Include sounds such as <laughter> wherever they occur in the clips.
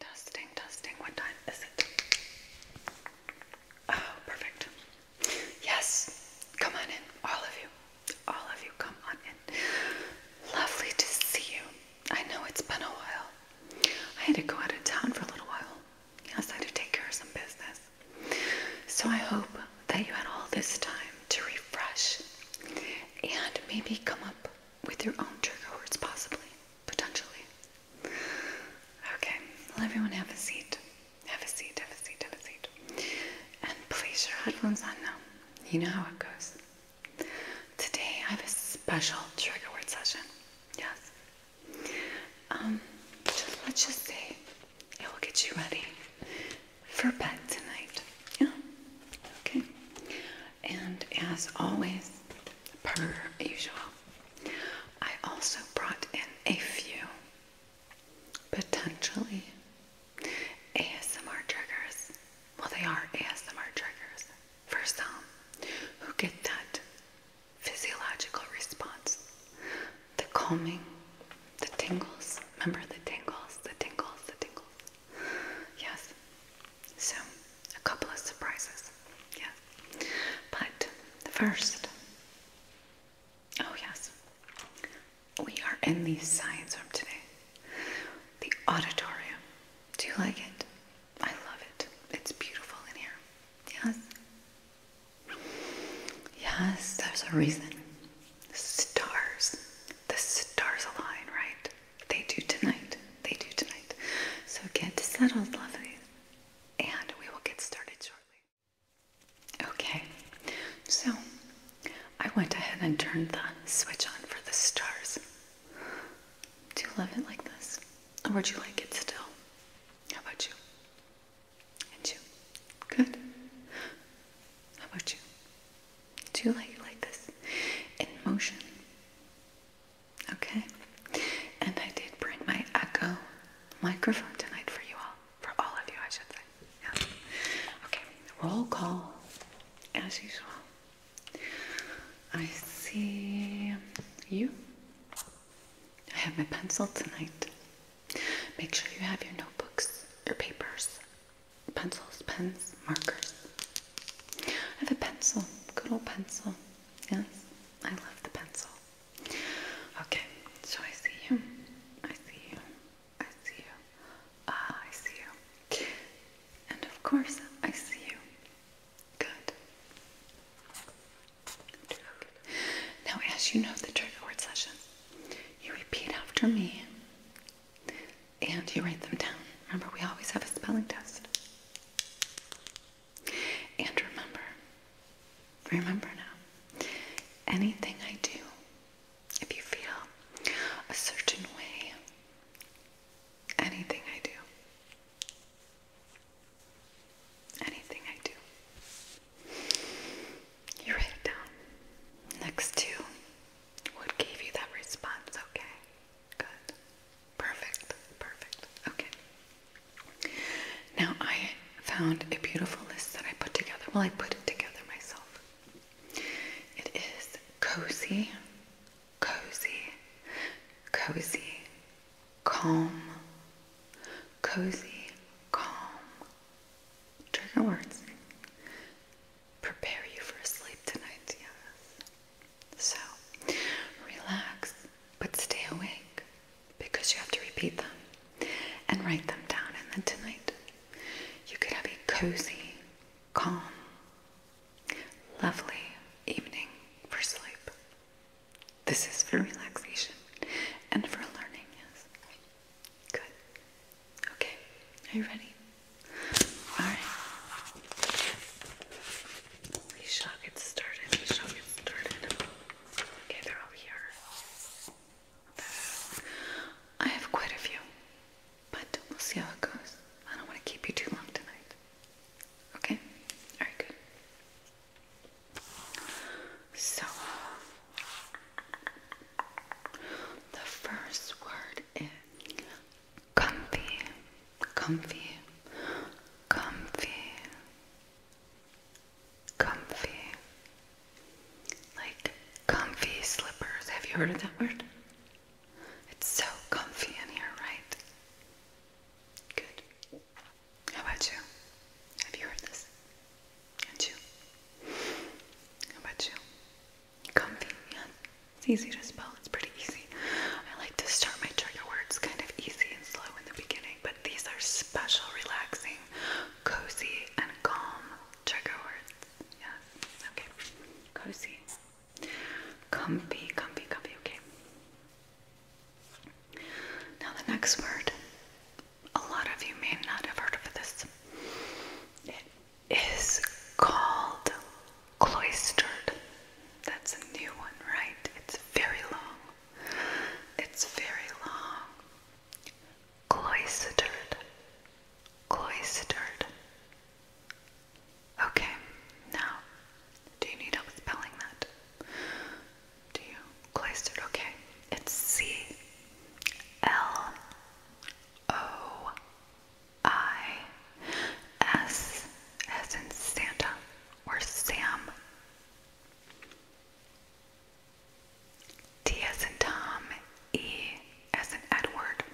Dusting, dusting. What time is it? Oh, perfect. Yes, come on in, all of you. All of you, come on in. Lovely to see you. I know it's been a while. I had to go out of town for a little while. Yes, I had to take care of some business. So I hope that you had all this time to refresh and maybe come up with your own trigger words, possibly, potentially. Okay, well, everyone have a seat. Have a seat, have a seat, have a seat. And place your headphones on now. You know how it goes. Today I have a special trigger word session. Yes. Um, let's just say it will get you ready for bed tonight. Yeah? Okay. And as always, per usual, I also brought in a few potentially ASMR triggers. Well, they are ASMR triggers for some who get that physiological response the calming, the tingles. Remember the tingles, the tingles, the tingles. Yes. So, a couple of surprises. Yes. But first, oh, yes, we are in the science room today. The auditorium. Do you like it? I love it. It's beautiful in here. Yes. Yes, there's a reason. Stars. The stars align, right? They do tonight. They do tonight. So get settled, lovely, and we will get started shortly. Okay, so I went ahead and turned the switch on for the stars. Do you love it like this? Or would you like it still? How about you? And you? Good. How about you? Do you like like this? In motion. Okay. And I did bring my Echo microphone tonight for you all. For all of you, I should say. Yeah. Okay. Roll call. As usual. I see you. I have my pencil tonight. Make sure you have your notebooks, your papers, pencils, pens, markers. I have a pencil, good old pencil. Yes, I love the pencil. Okay, so I see you. I see you. I see you. Ah, I see you. And of course, I see you. Good. Now, as you know the trigger word session, you repeat after me and you write them down. Remember, we always have a spelling test. And remember, remember now, anything I do, if you feel a certain way, anything I do, anything I do, you write it down next to what gave you that response? Okay. Good. Perfect. Perfect. Okay. Now I found a beautiful list that I put together. Well, I put it together myself. It is cozy, cozy, cozy, calm, cozy, calm. Trigger words prepare you for sleep tonight, yes. So, relax, but stay awake because you have to repeat them and write them down. And then tonight, you could have a cozy, calm, lovely evening for sleep. This is for relaxation and for learning, yes. Good. Okay, are you ready? Alright. We shall get started. We shall get started. Okay, they're over here. I have quite a few, but we'll see how it goes. I don't want to keep you too long tonight. Okay? Alright, good. So, the first word is comfy, comfy, comfy, comfy. Like comfy slippers. Have you heard of that word? It's so comfy in here, right? Good. How about you? Have you heard this? And you? How about you? Comfy, It's easy to spell, it's pretty easy. I like to start my trigger words kind of easy and slow in the beginning, but these are special, relaxing, cozy, and calm trigger words. Yes, okay. Cozy. Comfy, comfy, comfy, okay. Now, the next word. A lot of you may not have heard of this is called Cloistered. That's a new one, right? It's very long. It's very long. Cloistered. Cloistered. Okay, now, do you need help spelling that? Do you? Cloistered, okay. It's C L O I S as in Santa or Sam. T as in Tom, E as in Edward,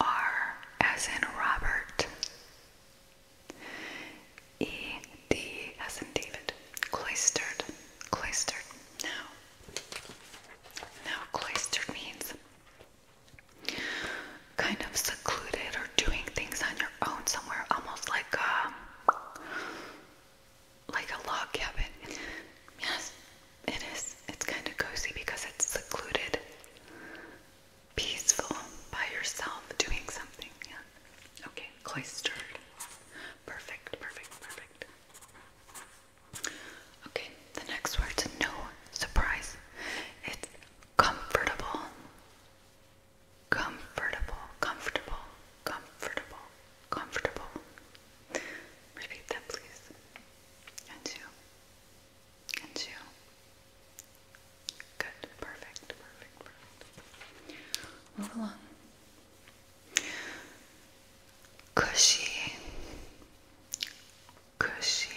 R as in Robert, E D as in David. Cloistered, cloistered. Now, now cloistered means kind of secluded or doing things on your own somewhere, almost like a, like a log cabin. Yes, it is. It's kind of cozy because it's secluded, peaceful, by yourself, doing something. Yeah. Okay, cloistered. Perfect, perfect, perfect. Okay, the next word word's no surprise. It's comfortable. Comfortable, comfortable, comfortable, comfortable. Repeat that, please. And two. And two. Good, perfect, perfect, perfect. Move along cushy,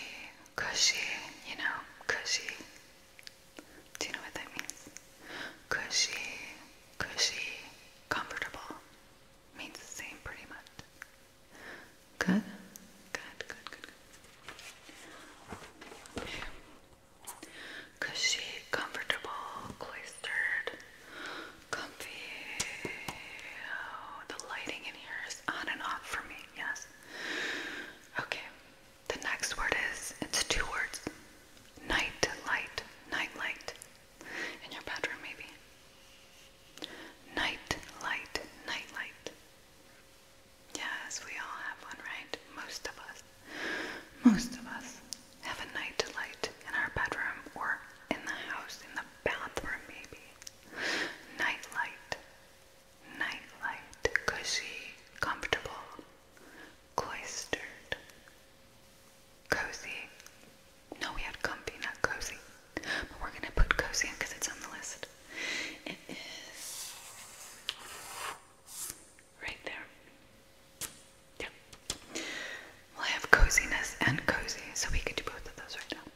cushy, you know, cushy. Do you know what that means? Cushy, cushy, comfortable. Means the same pretty much. Good? Good, good, good, Cushy, comfortable, cloistered, comfy. Oh, the lighting in here is on and off for me, yes. Okay, the next word is it's two words night light, night light. In your bedroom, maybe. Night light, night light. Yes, we all have one, right? Most of us. Most of us have a night light in our bedroom or in the house, in the bathroom, maybe. Night light, night comfortable, cloistered, cozy. No, we had comfy, not cozy. But we're gonna put cozy on because it's on the list. It is right there. Yeah. We'll have coziness and cozy, so we could do both of those right now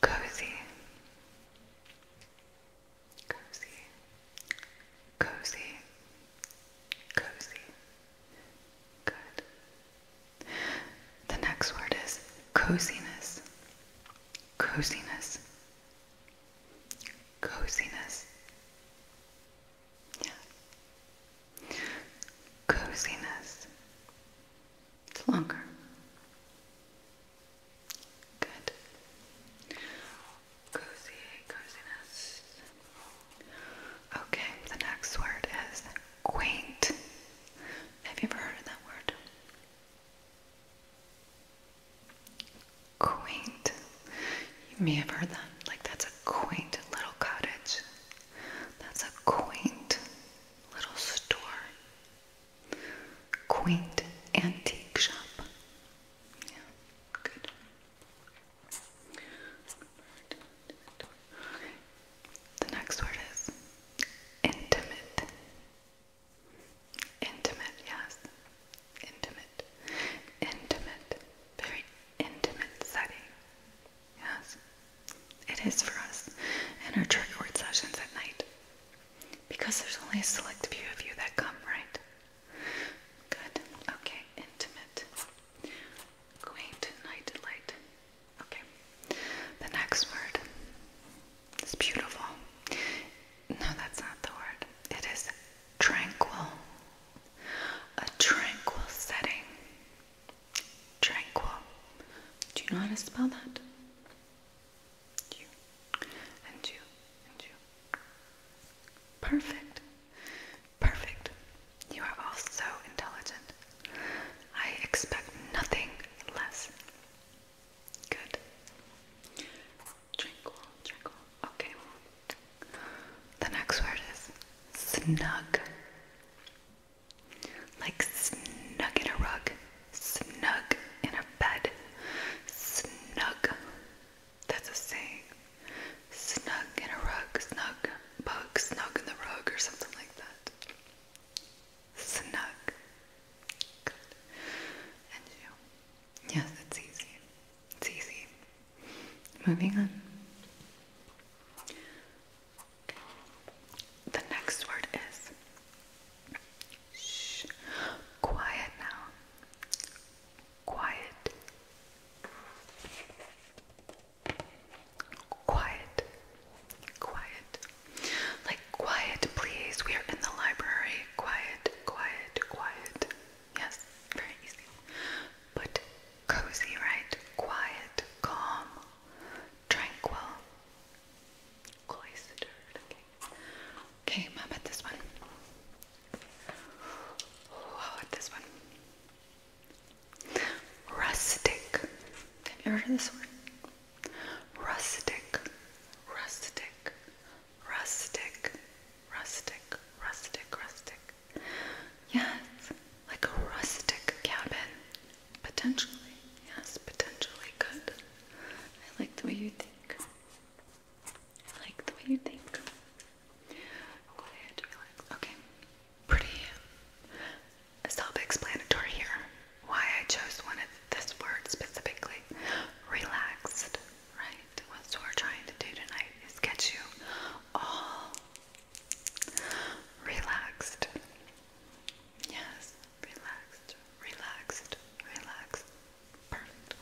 cozy, cozy, cozy, cozy. Good. The next word is coziness, coziness, coziness. Yeah coziness. It's longer. Good. Cozy, coziness. Okay, the next word is quaint. Have you ever heard that word? Quaint. You may have heard that. Like, that's a quaint little cottage. That's a quaint little store, quaint antique shop. Yeah, good. The next word is intimate. Intimate, yes. Intimate. Intimate. Very intimate setting. Yes, it is for us in our trigger word sessions at night. Because there's only a select few of you that come, right? Good. Okay, intimate. Quaint, night delight. Okay. The next word is beautiful. No, that's not the word. It is tranquil. A tranquil setting. Tranquil. Do you know how to spell that? You and you and you. Perfect. Perfect. You are all so intelligent. I expect nothing less. Good. Tranquil, tranquil. Okay. The next word is snug. Like snug in a rug, snug in a bed, snug. That's a saying. Snug in a rug, snug bug, snug in the rug, or something like that. Snug. Good. And you. Yes, it's easy. It's easy. Moving on. The next word is shh. Quiet now. Quiet. Quiet. Quiet. Like quiet, please. We are in the library. Quiet, quiet, quiet. Yes, very easy. But cozy, right? Quiet, calm, tranquil, Okay, okay mom, at this one. how about this one? Rustic. Have you heard of this word? Rustic, rustic, rustic, rustic, rustic, rustic. Yes like a rustic cabin. Potentially, yes, potentially good. I like the way you think. I like the way you think. Quiet, relax. Okay. Pretty self-explanatory here. Why I chose one of this word specifically. Relaxed, right? What we're trying to do tonight is get you all relaxed. Yes, relaxed, relaxed, relaxed. Perfect.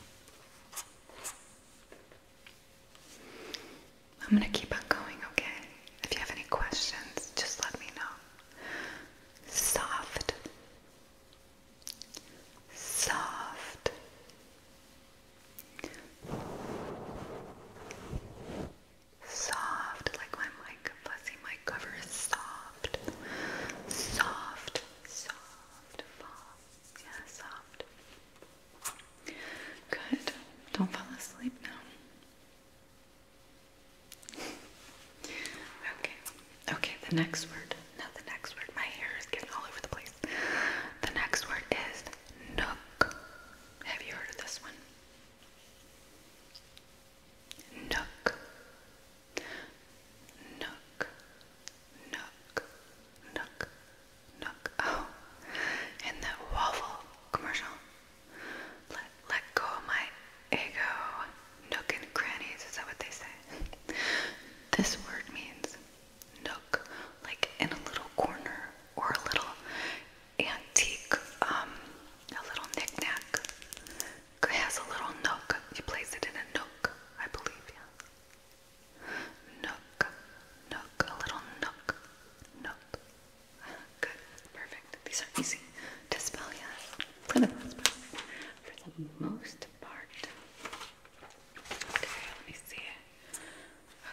I'm gonna keep on going, okay? If you have any questions, just let me know. Soft, soft, soft, like my mic, fuzzy mic cover is soft, soft, soft, fall, yeah, soft. Good, don't fall asleep now. okay, okay, the next word, not the next word, my hair is getting all over the place. The next word is nook. Have you heard of this one? Nook, nook, nook, nook, nook. Oh, in that waffle commercial. Let, let go my ego. Nook and crannies, is that what they say? <laughs> this word means nook, like in a little corner or a little antique, um, a little knick-knack. It has a little nook. You place it in a nook, I believe, yeah. Nook, nook, a little nook, nook. Good, perfect. These are easy to spell, yeah, for the most part. For the most part. Okay, let me see.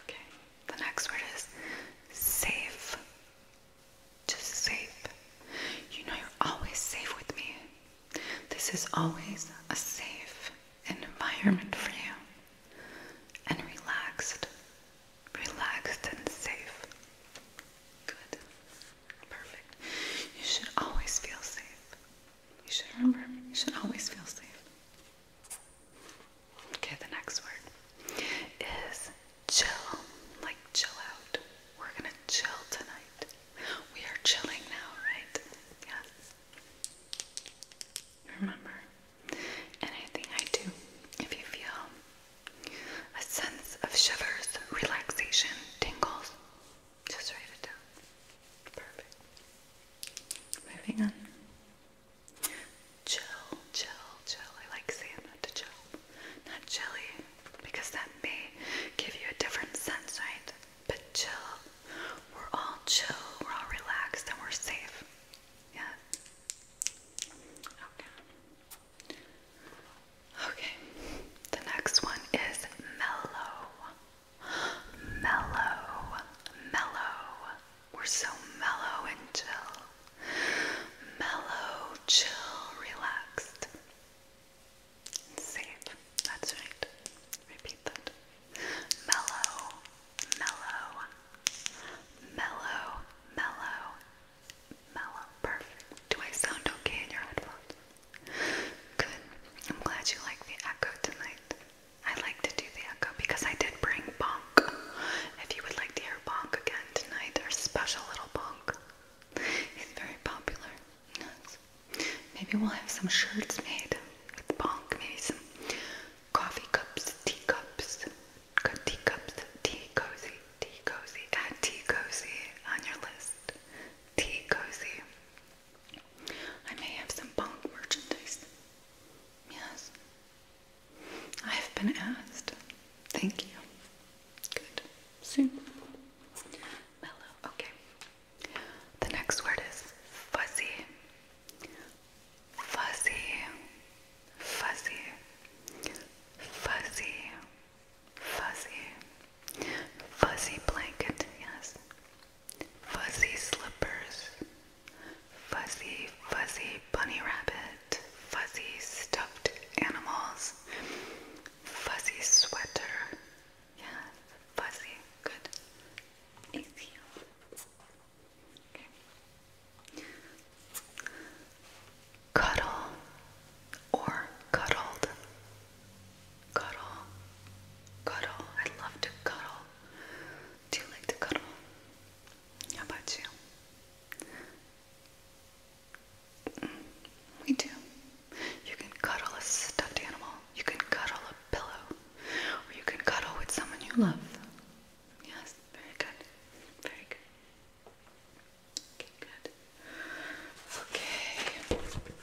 Okay, the next word is save. Just safe. You know you're always safe with me. This is always a safe environment for you. And relaxed. Relaxed and safe. Good. Perfect. You should always feel safe. You should remember, you should always feel safe. Okay, the next word is chill, like chill out. We're gonna chill tonight. We are chilling now, right? Yes. Remember, anything I do, if you feel a sense of shivers, relaxation, tingles, just write it down. Perfect. Moving on. Chill, chill, chill. I like saying that to chill, not jelly, because that may give you a different sense, right? But chill. We're all chill, we're all relaxed, and we're safe. Yeah? Okay. Okay. The next one is mellow. Mellow. Mellow. We're so mellow and chill. Mellow, chill, relaxed. And safe. That's right. Repeat that. Mellow, mellow, mellow, mellow, mellow. Perfect. Do I sound okay in your headphones? Good. I'm glad you like the echo tonight. I like to do the echo because I did bring bonk. If you would like to hear bonk again tonight, our special little bonk. He's very popular. Yes. Maybe we'll have some shirts made with bonk. Maybe some coffee cups, tea cups, tea cups, tea cozy, tea cozy. Add tea cozy on your list. Tea cozy. I may have some bonk merchandise. Yes. I've been asked. Thank you. Good. Soon. Mellow. Okay. The next word is fuzzy. Fuzzy. Fuzzy. Fuzzy. Fuzzy. Fuzzy blanket. Yes. Fuzzy slippers. Fuzzy, fuzzy bunny rabbit, fuzzy stuffed animals, fuzzy sweater. Yeah, fuzzy. Good. Easy. Okay. Cuddle or cuddled. Cuddle. Cuddle. I love to cuddle. Do you like to cuddle? How about you? We do. You can cuddle a stuffed animal, you can cuddle a pillow, or you can cuddle with someone you love. Yes, very good. Very good. Okay, good. Okay.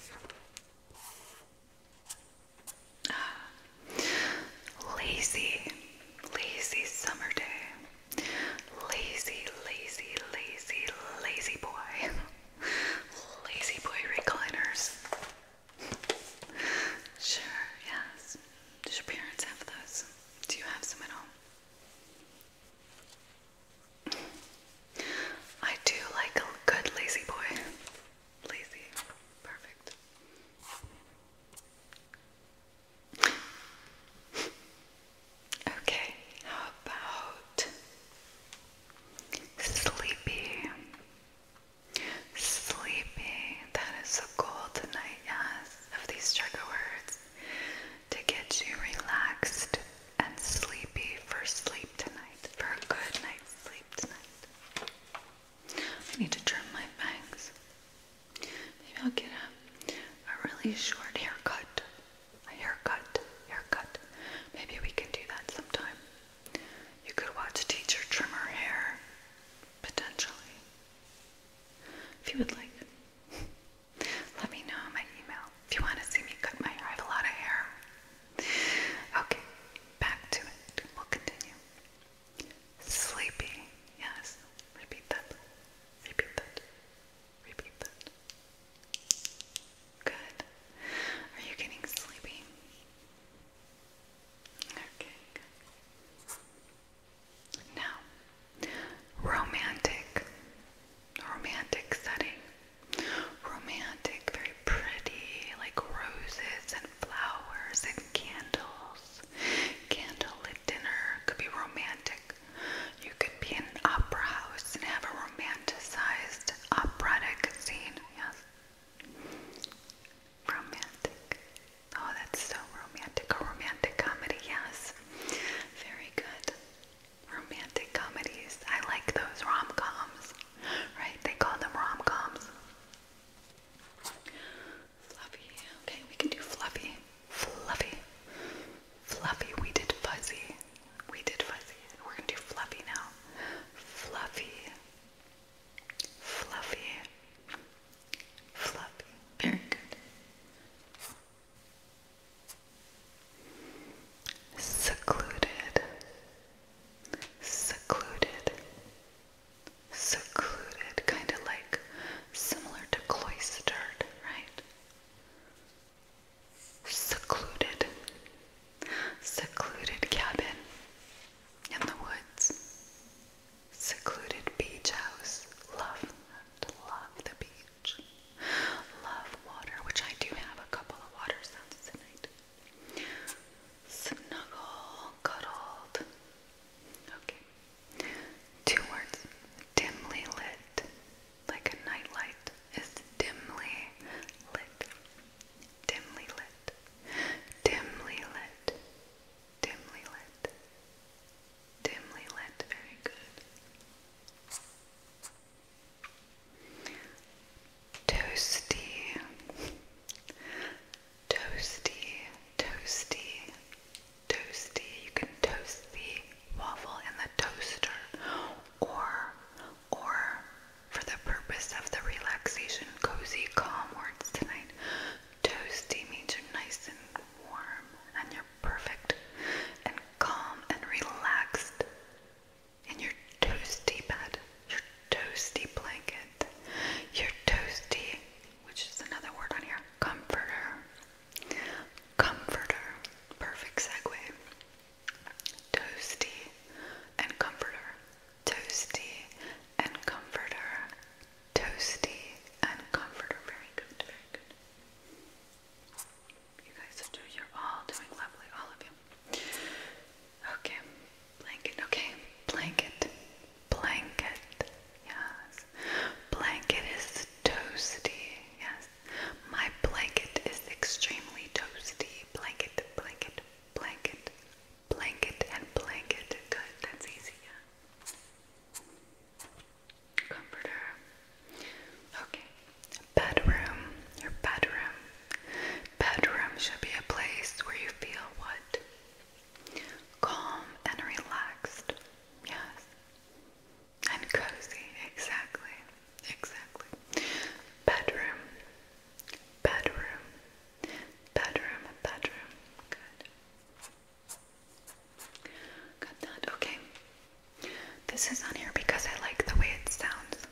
Ah. Lazy, lazy summer day. Lazy, lazy, lazy, lazy boy. lazy boy recliners. sure, yes. Does your parents have those? Do you have some at home? I do like a good lazy boy. Lazy. Perfect. Okay, how about sleepy? Sleepy, that is the goal tonight, yes, of these trigger words to get you relaxed and sleepy for sleep tonight, for a good night's sleep tonight. I need to trim my bangs. Maybe I'll get a, a really short haircut. A haircut, haircut. Maybe we can do that sometime. You could watch teacher trim her hair, potentially. If you would like, <laughs> let me know my email. If you want to see me cut my hair, I have a lot of hair. Okay, back to it. We'll continue. Sleepy. Yes. Repeat that. Repeat that. Repeat that. Good. Are you getting sleepy? Okay, Now, romantic. Romantic setting. Romantic, very pretty, like roses and flowers and candles. Candlelit dinner could be romantic. You could be in an opera house and have a romanticized operatic scene. Yes. Romantic. Oh, that's so romantic. A romantic comedy, yes. Very good. Romantic comedies. I like those rom coms, right? They call them rom coms. Fluffy. Okay, we can do fluffy. Fluffy. Fluffy. We did fuzzy. We did fuzzy. We're gonna do fluffy now. Fluffy. Fluffy. Fluffy. Very good. Secluded. Secluded secluded, kind of like similar to cloistered, right? Secluded, secluded cabin in the woods, secluded beach house. Love that. Love the beach. Love water, which I do have a couple of water sounds tonight. Snuggle, cuddled. Okay. Two words dimly lit, like a nightlight is dimly lit, dimly lit, dimly lit, dimly lit, dimly lit. Very good. Toasty toasty, toasty, toasty. You can toast the waffle in the toaster or or for the purpose of the relaxation, cozy, calm words tonight. Toasty means you're nice and warm and you're perfect and calm and relaxed in your toasty bed, your toasty blanket, your toasty which is another word on here comforter. Comforter. Perfect segue. Toasty and comforter. Toasty and comforter. Toasty and comforter. Very good, very good. You guys are doing, you're all doing lovely, all of you. Okay, blanket, okay, blanket, Blanket, yes. Blanket is toasty, yes. My blanket is extremely toasty. Blanket, blanket, blanket, blanket, and blanket. Good, that's easy, yeah. Comforter. Okay. Bedroom, your bedroom. Bedroom should be a place where you feel what? Calm and relaxed. Yes. And cozy, exactly. Exactly. Bedroom. Bedroom. Bedroom. Bedroom. Good. Got that. Okay. This is on here because I like the way it sounds.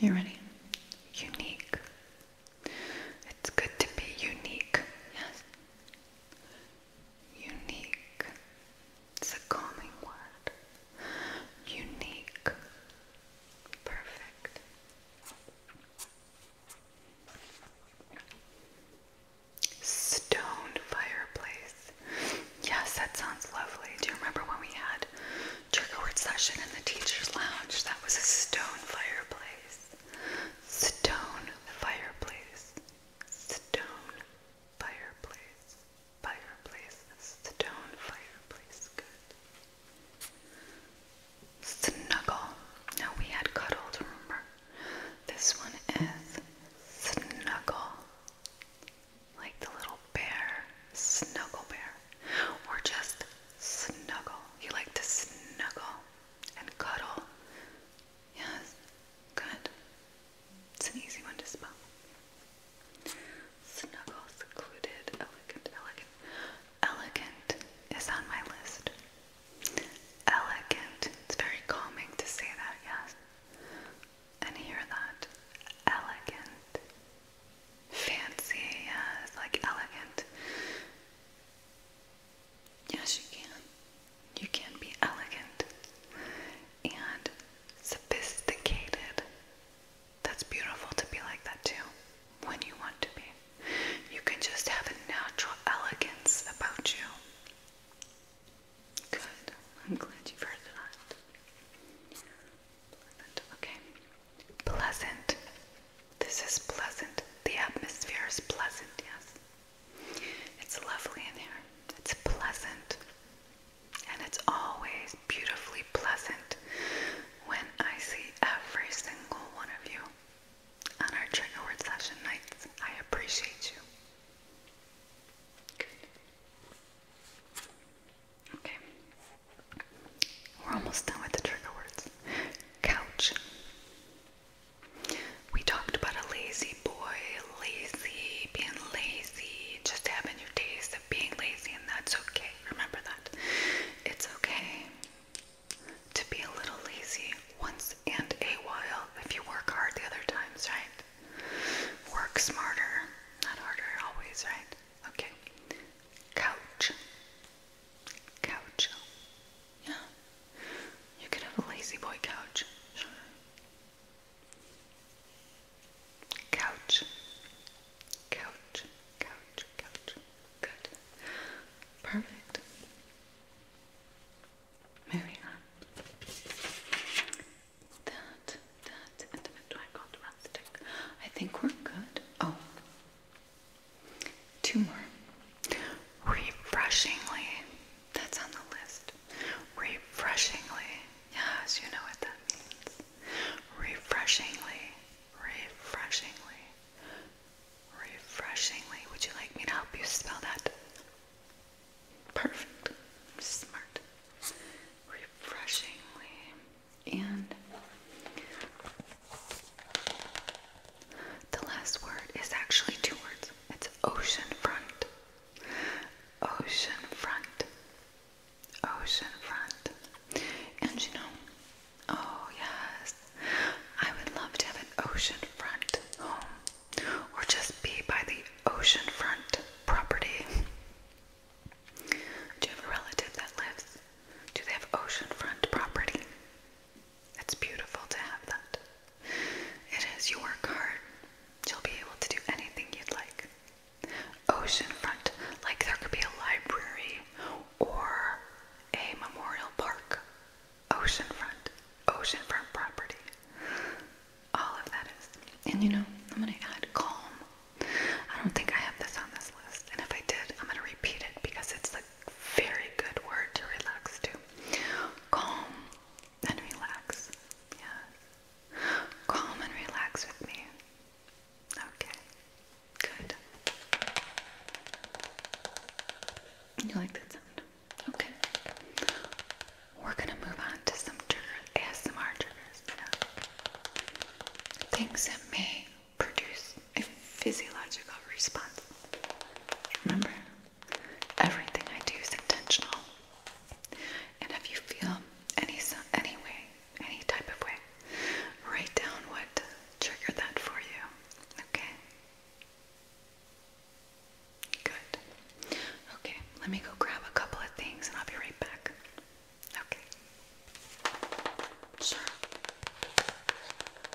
You ready? Unique. It's good to be unique, yes. Unique. It's a calming word. Unique. Perfect. Stone fireplace. Yes, that sounds lovely. Do you remember when we had trigger word session in the teacher's lounge? That was a stone fireplace. Stone fireplace. Stone fireplace. Fireplace. Stone fireplace. Good. Snuggle. Now we had cuddled, remember? This one is snuggle. Like the little bear. Snuggle bear. Or just snuggle. You like to snuggle and cuddle. Yes, good. It's an easy one to spell. Snuggle, secluded, elegant, elegant. Elegant is on my list. Elegant. It's very calming to say that, yes. And hear that. Elegant. Fancy, yes, like elegant. Yes, you can. You can be elegant and sophisticated. That's beautiful to be like that too when you want to be. You can just have a natural elegance about you. Good. I'm glad you heard that. Pleasant. Okay. Pleasant. This is pleasant. The atmosphere is pleasant, yes. It's lovely in here. It's pleasant. And it's always beautifully pleasant when I see every single one of you on our trigger words session nights. I appreciate you. Good. Okay. We're almost done with the trigger words. Couch. We talked about a lazy boy, lazy, being lazy, just having your taste of being lazy, and that's okay. Remember that. It's okay to be a little lazy once and a while if you work hard the other times, right? Work smarter, not harder always, right? Okay. Couch. Couch. Yeah. You could have a lazy boy couch. Sure. Couch. Couch. Couch. Couch. Good. Perfect. Moving on. That, that, do I got the I think we're good. Oh. Two more. Refreshingly. That's on the list. Refreshingly. Yes, you know what that means. Refreshingly. Refreshingly. Refreshingly. Would you like me to help you spell that? Perfect. Smart. Refreshingly. And the last word is actually two words. It's oceanfront. Oceanfront. Oceanfront. And you know, oh yes, I would love to have an oceanfront home or just be by the oceanfront property. Do you have a relative that lives? Do they have oceanfront property? It's beautiful to have that. It is. You work hard. You'll be able to do anything you'd like. Oceanfront, like there could be a library or a memorial park. Oceanfront, oceanfront property. All of that is. And you know, I'm going to add calm. I don't think I have this on this list. And if I did, I'm going to repeat it because it's the very good word to relax to. Calm and relax. Yes. Calm and relax with me. Okay. Good. You like that sound? Okay. We're gonna move on to some triggers. Yeah. Things that may produce a physiological response. Remember, everything I do is intentional. And if you feel any any way, any type of way, write down what triggered that for you. Okay. Good. Okay, let me go grab a couple of things and I'll be right back. Okay. Sure.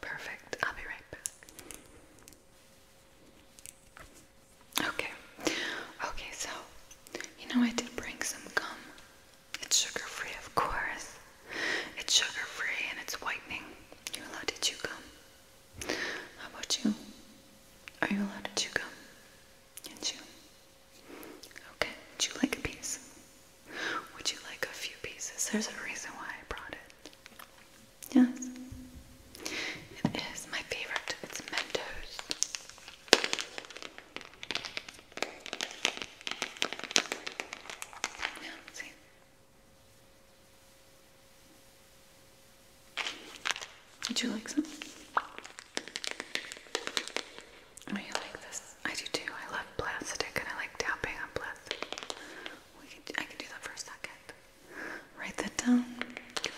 Perfect. I'll be right back. Okay. Okay, so you know I did bring some gum. It's sugar-free, of course. It's sugar-free and it's whitening. You're allowed to chew gum. How about you? Are you allowed to chew gum? And chew. Okay. Would you like a piece? Would you like a few pieces? There's a reason why I brought it. Yes. It is my favorite. It's Mentos. Would you like some? Oh, you like this? I do too. I love plastic and I like tapping on plastic. I can do that for a second. Write that down. Good.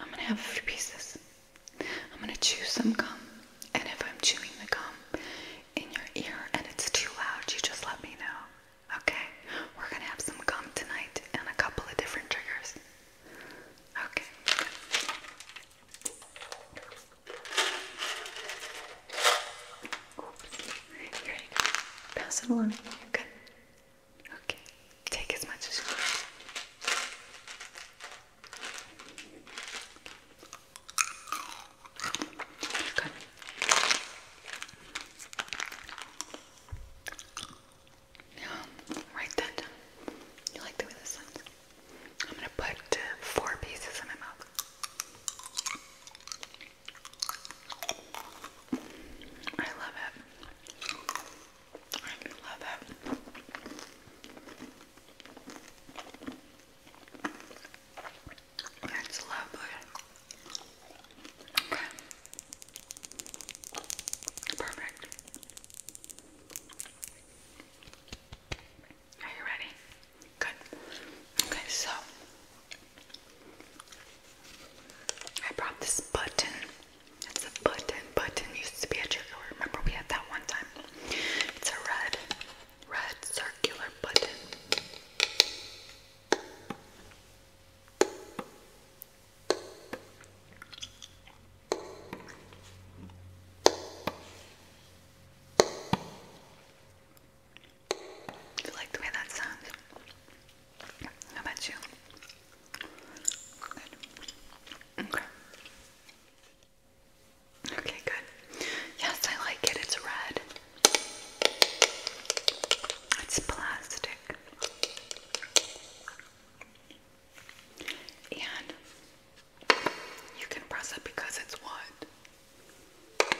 I'm gonna have a few pieces. I'm gonna chew some gum, and if I'm chewing the gum in your ear and it's too loud, you just let me know. Okay, we're gonna have some gum tonight and a couple of different triggers. Okay. Here you go. Pass it along. Good. Okay. Take as much as you Okay. write that down. You like the way this sounds? I'm gonna put four pieces in my mouth. I love it. I love it. That's lovely. Okay. Perfect. Are you ready? Good. Okay, so I brought this button. It's a button. Button used to be a trigger. Remember we had that one time. It's a red, red circular button. You like the way that sounds? How about you? Okay. Okay, good. Yes, I like it. It's red. It's plastic. And you can press it because it's what?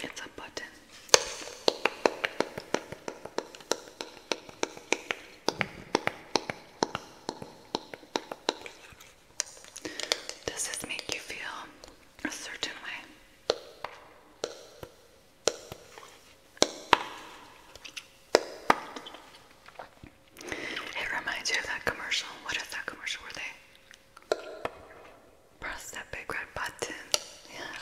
It's a button. Does this make you feel a certain way? It reminds you of that commercial. What is that commercial Were they press that big red button? Yeah,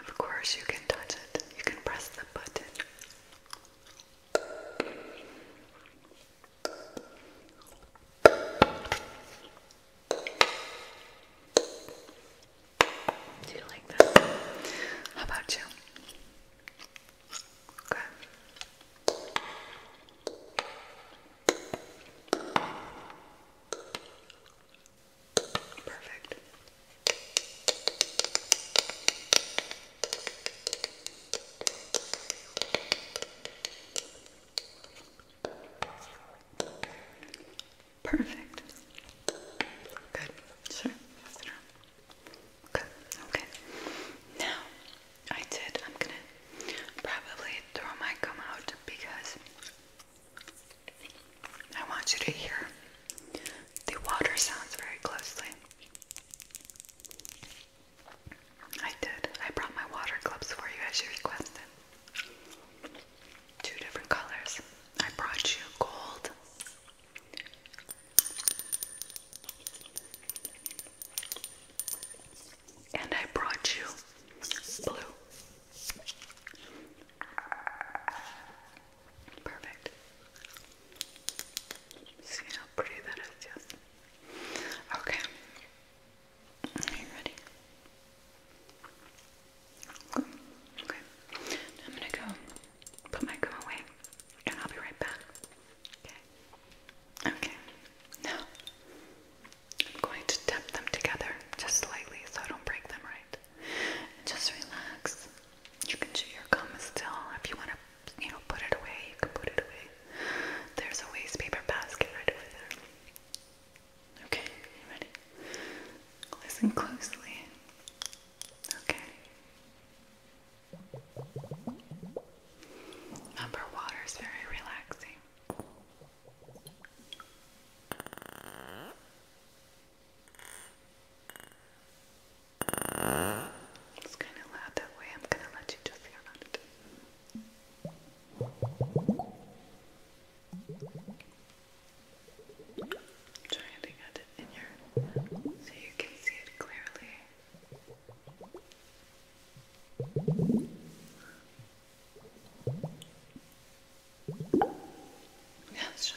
Of course, you can touch it. You can press the button. Do you like that? How about you? Okay. Perfect. Perfect. Good. Sure. Pass Okay. Now, I did. I'm gonna probably throw my gum out because I want you to hear the water sounds very closely. I did. I brought my water gloves for you as you requested. Two different colors. I brought you gold. And I brought you blue. Perfect. See how pretty that is, yes. Okay. Are you ready? Okay. I'm gonna go put my gum away and I'll be right back. Okay. Okay. Now I'm going to tap them together just slightly so I don't break them right. Just relax. You can chew your gum still. If you want to, you know, put it away, you can put it away. There's a waste paper basket right over there. Okay, you ready? Listen closely. Okay. Number water is very relaxing. It's kind of loud that way. I'm going to let you just hear about it. Try to get it in your so you can see it clearly. Yeah, sure.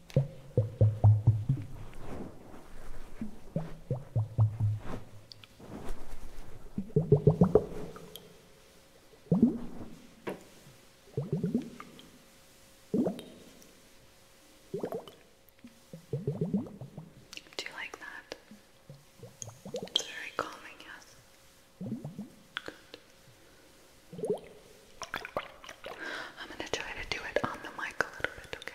Do you like that? It's very calming, yes. Good. I'm going to try to do it on the mic a little bit, okay?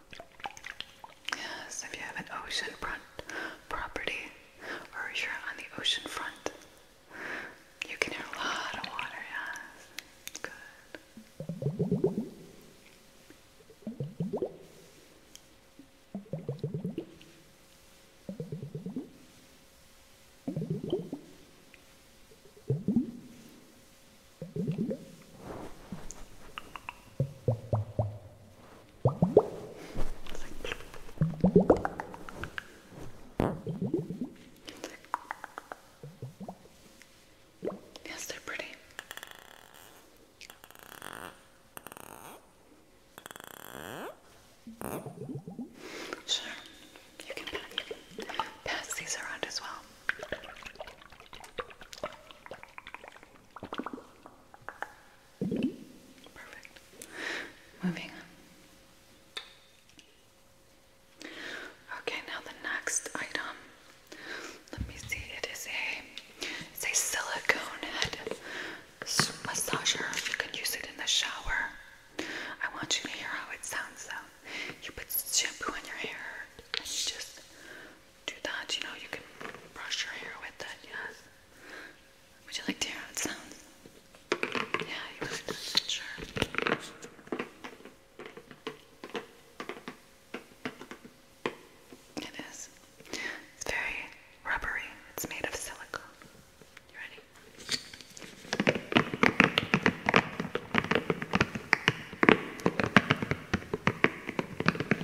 Yes, if you have an ocean front property or you're on the ocean front, you can hear a lot of water, yes. Good. Yes, they're pretty. Sure, you can pass these around as well. Perfect. Moving on. Okay, now the next item. Let me see. It is a it's a silicone head massager. You can use it in the shower. I want you to hear how it sounds though. You put shampoo in your hair and you just do that. You know, you can brush your hair with it, yes. Would you like to hear how it sounds? Yeah, you would. Sure. It is. It's very rubbery. It's made of silicone. You ready?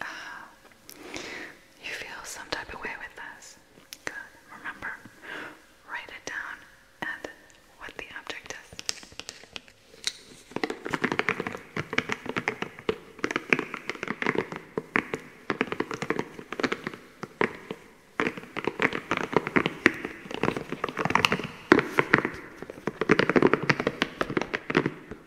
Uh, you feel some type of way with this. Good. Remember, write it down and what the object is. You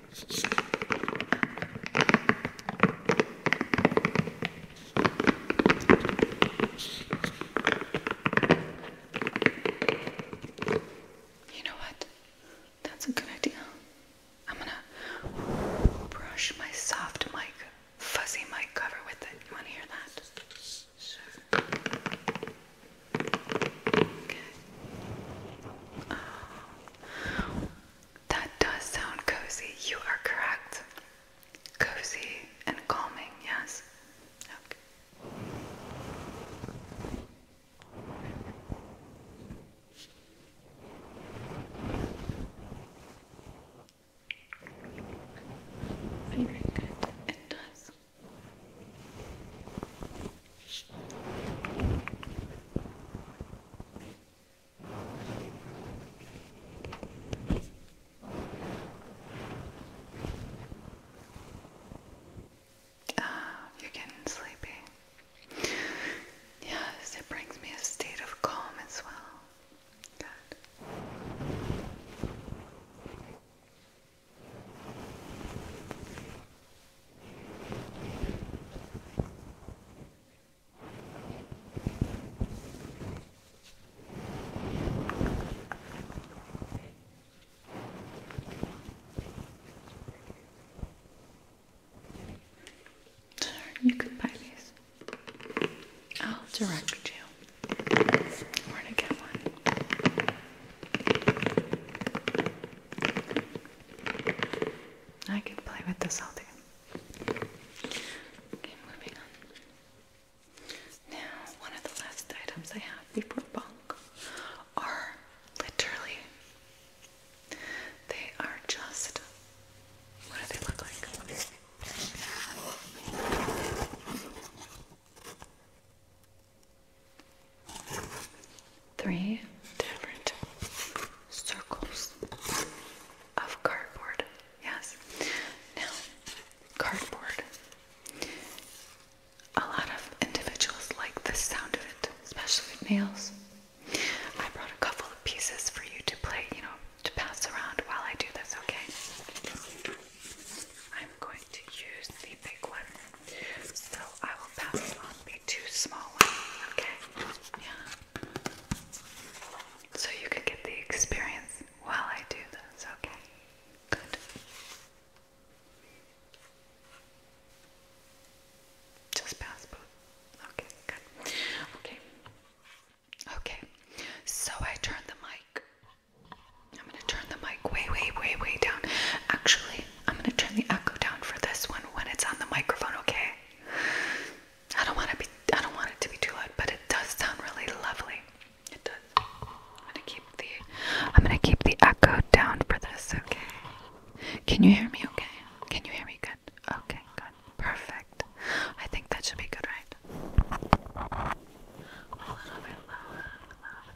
know what? That's a good idea. I'm gonna brush my soft mic, fuzzy mic cover with it. You wanna hear that? that does sound cozy. You are correct. Cozy and calming, yes. Okay. It does. Ah, you're getting sleepy. Yes, it brings me a state of calm as well. Good. You can buy these. I'll direct you. Where to get one? I could play with this all day. Okay, moving on. Now, one of the last items I have before bunk are literally, they are just, what do they look like? three different circles of cardboard. Yes. Now, cardboard. A lot of individuals like the sound of it, especially nails. I brought a couple of pieces for you to play, you know, to pass around while I do this, okay? I'm going to use the big one, so I will pass on the two small ones, okay? Yeah. So you can get the experience while I do this, okay? Good. Just pass both. Okay, good. Okay. Okay, so I turned the mic. I'm gonna turn the mic way, way, way, way down. Actually, I'm gonna turn the echo down for this one when it's on the microphone, okay? I don't want to be I don't want it to be too loud, but it does sound really lovely. It does. I'm gonna keep the I'm gonna keep the echo down for this, okay? Can you hear me okay? Can you hear me good? Okay, good. Perfect. I think that should be good, right? A little bit lower, a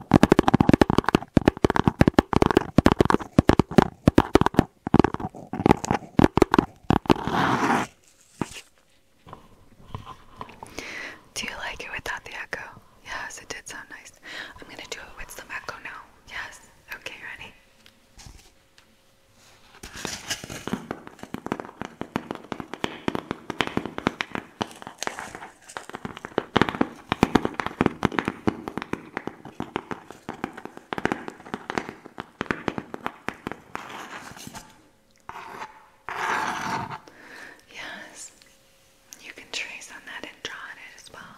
Do you like it without the echo? Yes, it did sound nice. I'm gonna do it with the echo now. Yes. Okay, ready? Yes, you can trace on that and draw on it as well.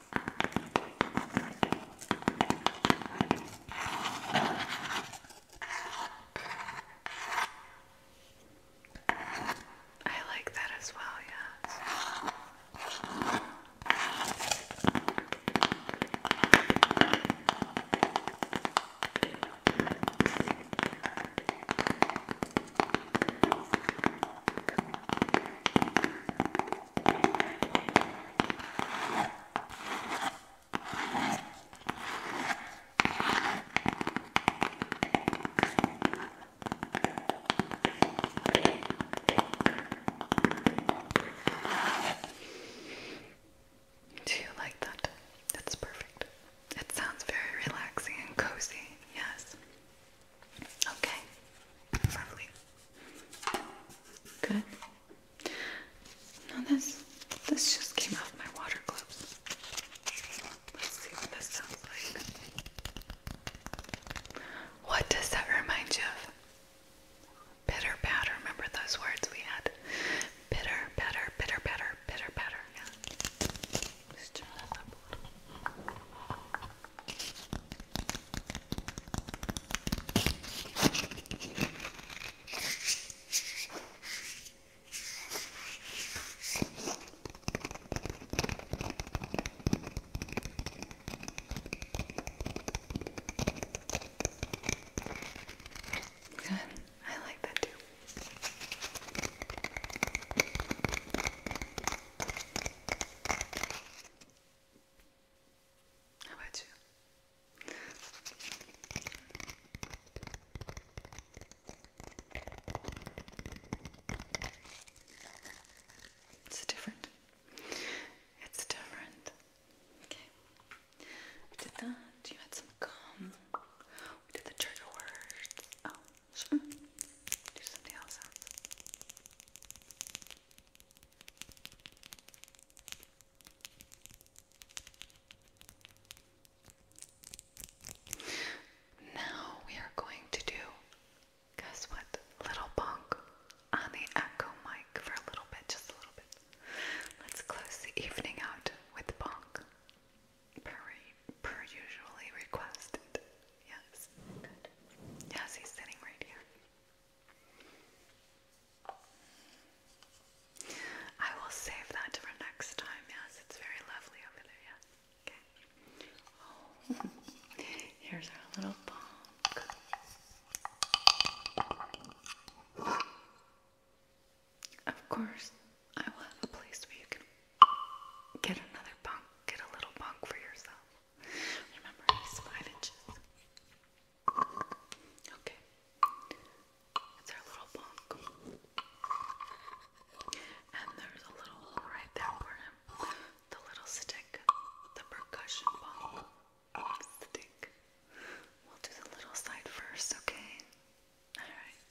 I like that as well, yes. Do you like that? That's perfect. It sounds very relaxing and cozy, yes. Okay. Lovely. Good. Now this this just came off my water gloves. Let's see what this sounds like. What does that remind you of? Bitter batter. Remember those words we had? Bitter, better, bitter, better, bitter, better. Yeah. Just turn that up Good. I like that too. How about you? It's different. It's different. Okay. We did that. You had some gum. We did the trigger words. Oh, now we are going to do, guess what? Little bonk on the echo mic for a little bit, just a little bit. Let's close the evening out with bonk, per, per usually requested. Yes, Yes, he's sitting right here. I will save that for next time. Yes, it's very lovely over there. Yeah. Okay. <laughs> here's our little bonk. Of course, I will have a place where you can get another bunk, get a little bunk for yourself. Remember, he's five inches. Okay. It's our little bunk. And there's a little right there for him. The little stick. The percussion bunk. Stick. We'll do the little side first, okay? Alright.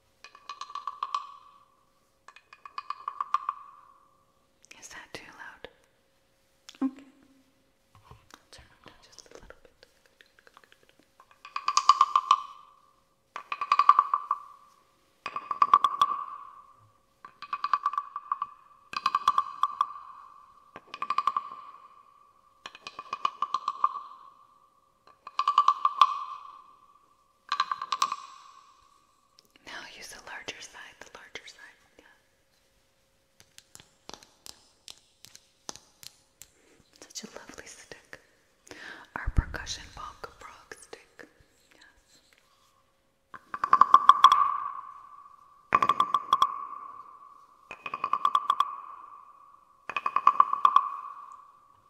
Is that too loud? Okay. I'll turn it down just a little bit. Good, good, good, good, good. Now use the larger side, the larger side, yeah. Such a lovely stick. Our percussion bonk frog stick. Yes.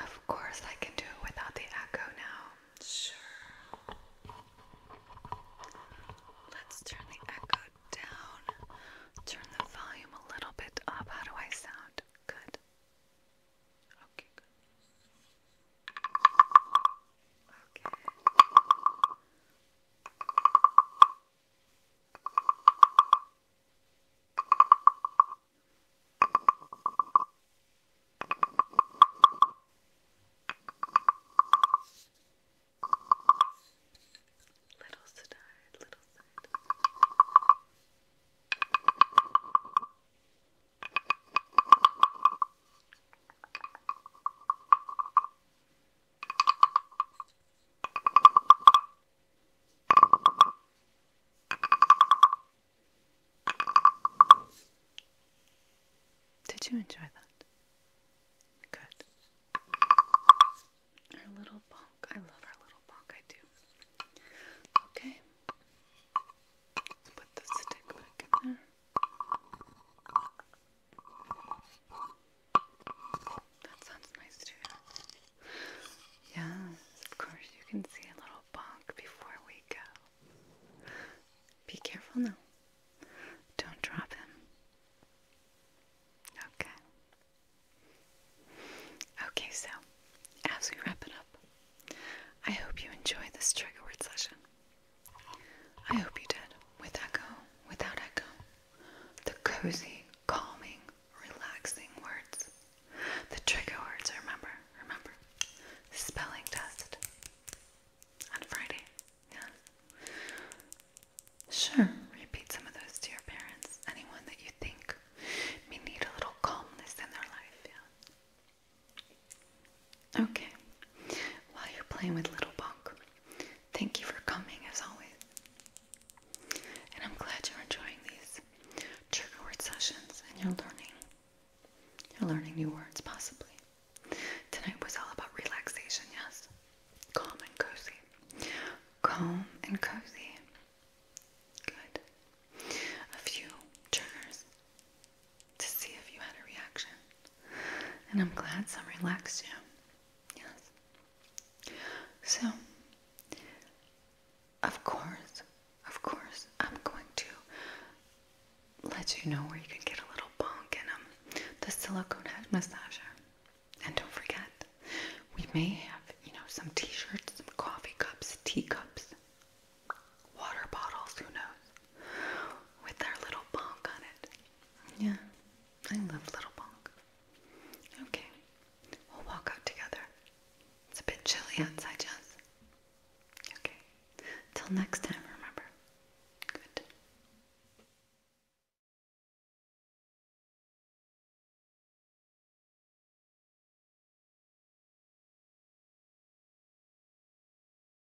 Of course, I can do it without the echo now. Sure. Let's turn the echo down. Turn the volume a little bit up. How do I sound? Good. Okay, good. Okay. Little side, little side. Okay. Did you enjoy that? Good. Our little bonk. I love our little bonk. I do. Okay. Let's put the stick back in there. That sounds nice too. Yes, of course, you can see a little bonk before we go. Be careful now. Don't drop him. Okay. Okay, so as we wrap it up, I hope you enjoy this trigger word session. I hope you did. With echo, without echo. The cozy, calming, relaxing words. The trigger words, remember, remember. Spelling test. On Friday, yeah. Sure, repeat some of those to your parents. Anyone that you think may need a little calmness in their life, yeah. Okay. While you're playing with Little Bonk, thank you for coming as always. And I'm glad you're enjoying these trigger word sessions and you're learning. You're learning new words, possibly. Tonight was all about relaxation, yes? Calm and cozy. Calm and cozy. Good. A few triggers to see if you had a reaction. And I'm glad some relaxed you. Yes. So, of course, of course, I'm going to let you know where you can get a little bonk in um, the silicone head massager. And don't forget, we may have, you know, some t-shirts, some coffee cups, teacups, water bottles, who knows with our little bonk on it. Yeah, I love little bonk. Okay, we'll walk out together. It's a bit chilly outside, Jess. Okay, till next time, remember. Good.